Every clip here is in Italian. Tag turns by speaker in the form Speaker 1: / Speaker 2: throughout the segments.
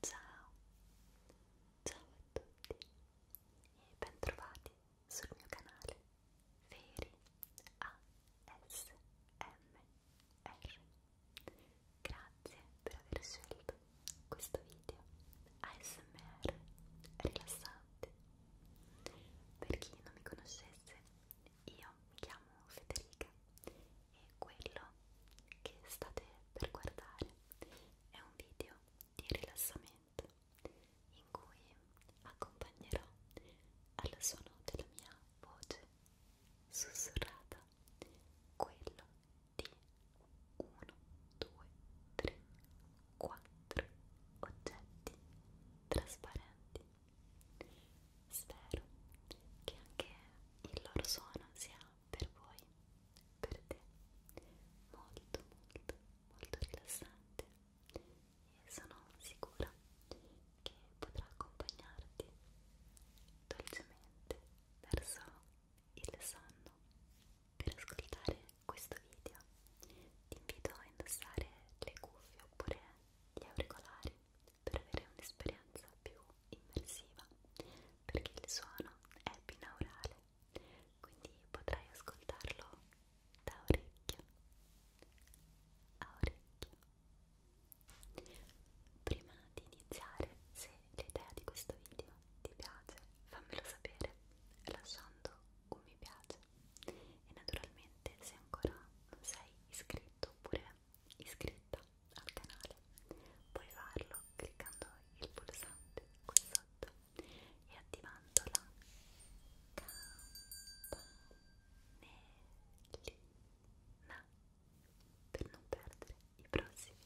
Speaker 1: Ciao, ciao a tutti e bentrovati sul mio canale Feri ASMR. Grazie per aver scelto questo video ASMR rilassante. Per chi non mi conoscesse, io mi chiamo Federica e quello che state per guardare è un video di rilassamento in cui accompagnerò al suono della mia voce sussurrata quello di 1, 2, 3,
Speaker 2: 4 oggetti trasparenti. Spero che anche il loro suono sia per voi, per te, molto molto molto rilassante e sono sicura che potrà accompagnarti dolcemente
Speaker 3: verso il sonno. Per ascoltare questo video ti invito a indossare le cuffie oppure gli auricolari per avere un'esperienza più immersiva perché il suono è binaurale, quindi potrai ascoltarlo da orecchio a orecchio. Prima di iniziare, se l'idea di questo video ti piace, fammelo sapere lasciando un mi piace e naturalmente se ancora non sei iscritto oppure iscritta al canale puoi farlo cliccando il pulsante qui sotto e attivando la campanellina per non perdere i prossimi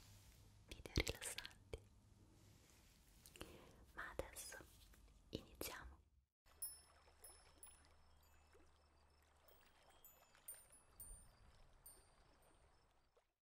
Speaker 3: video rilassanti ma adesso iniziamo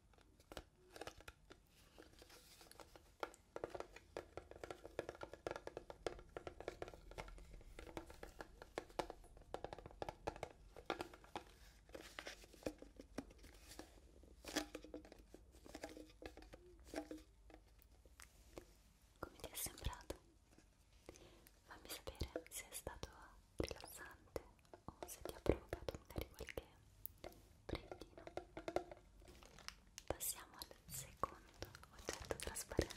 Speaker 3: Come ti è sembrato? Fammi sapere se è stato rilassante o se ti ha provocato magari qualche brillino. Passiamo al secondo oggetto trasparente.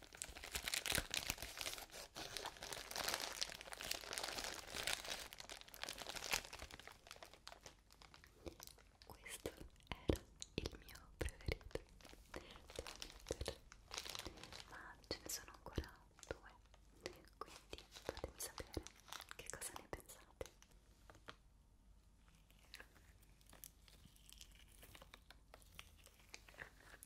Speaker 4: Questo era il mio preferito ma ce ne sono ancora due quindi fatemi sapere che cosa ne pensate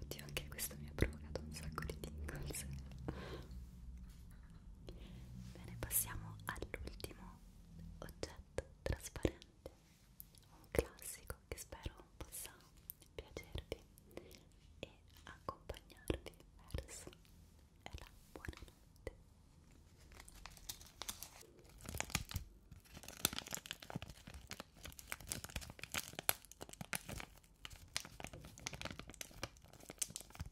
Speaker 1: Oddio, anche questo mi ha provocato un sacco di tingles Bene, passiamo all'ultimo oggetto trasparente, un classico che spero possa piacervi e accompagnarvi verso la buonanotte.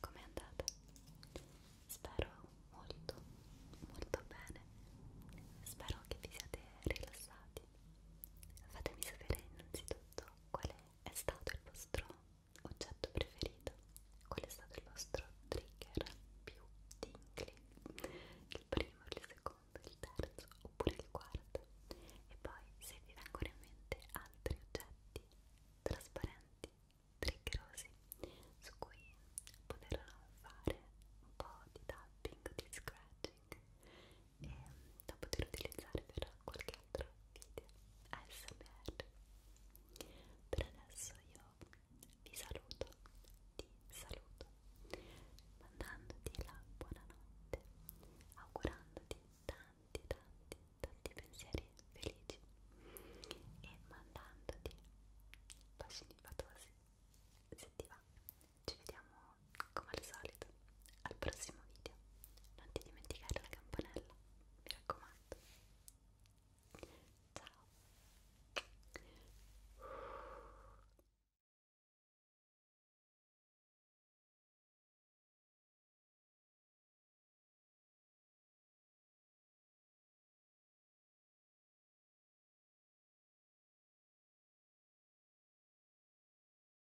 Speaker 1: Com'è andata? Spero molto, molto bene. Spero che vi siate rilassati. Fatemi sapere innanzitutto qual è è stato il vostro oggetto preferito? Qual è stato il vostro trigger più tingly? Il primo, il secondo, il terzo oppure il quarto? E poi se vi vengono in mente altri oggetti trasparenti, triggerosi, su cui poter fare un po' di tapping, di scratching e, da poter utilizzare per qualche altro video ASMR per adesso io vi saluto ti saluto mandandoti la buonanotte augurandoti tanti tanti tanti pensieri felici e mandandoti bacini fatosi se ti va ci vediamo come al solito, al prossimo video. Non ti dimenticare la campanella, mi raccomando. Ciao.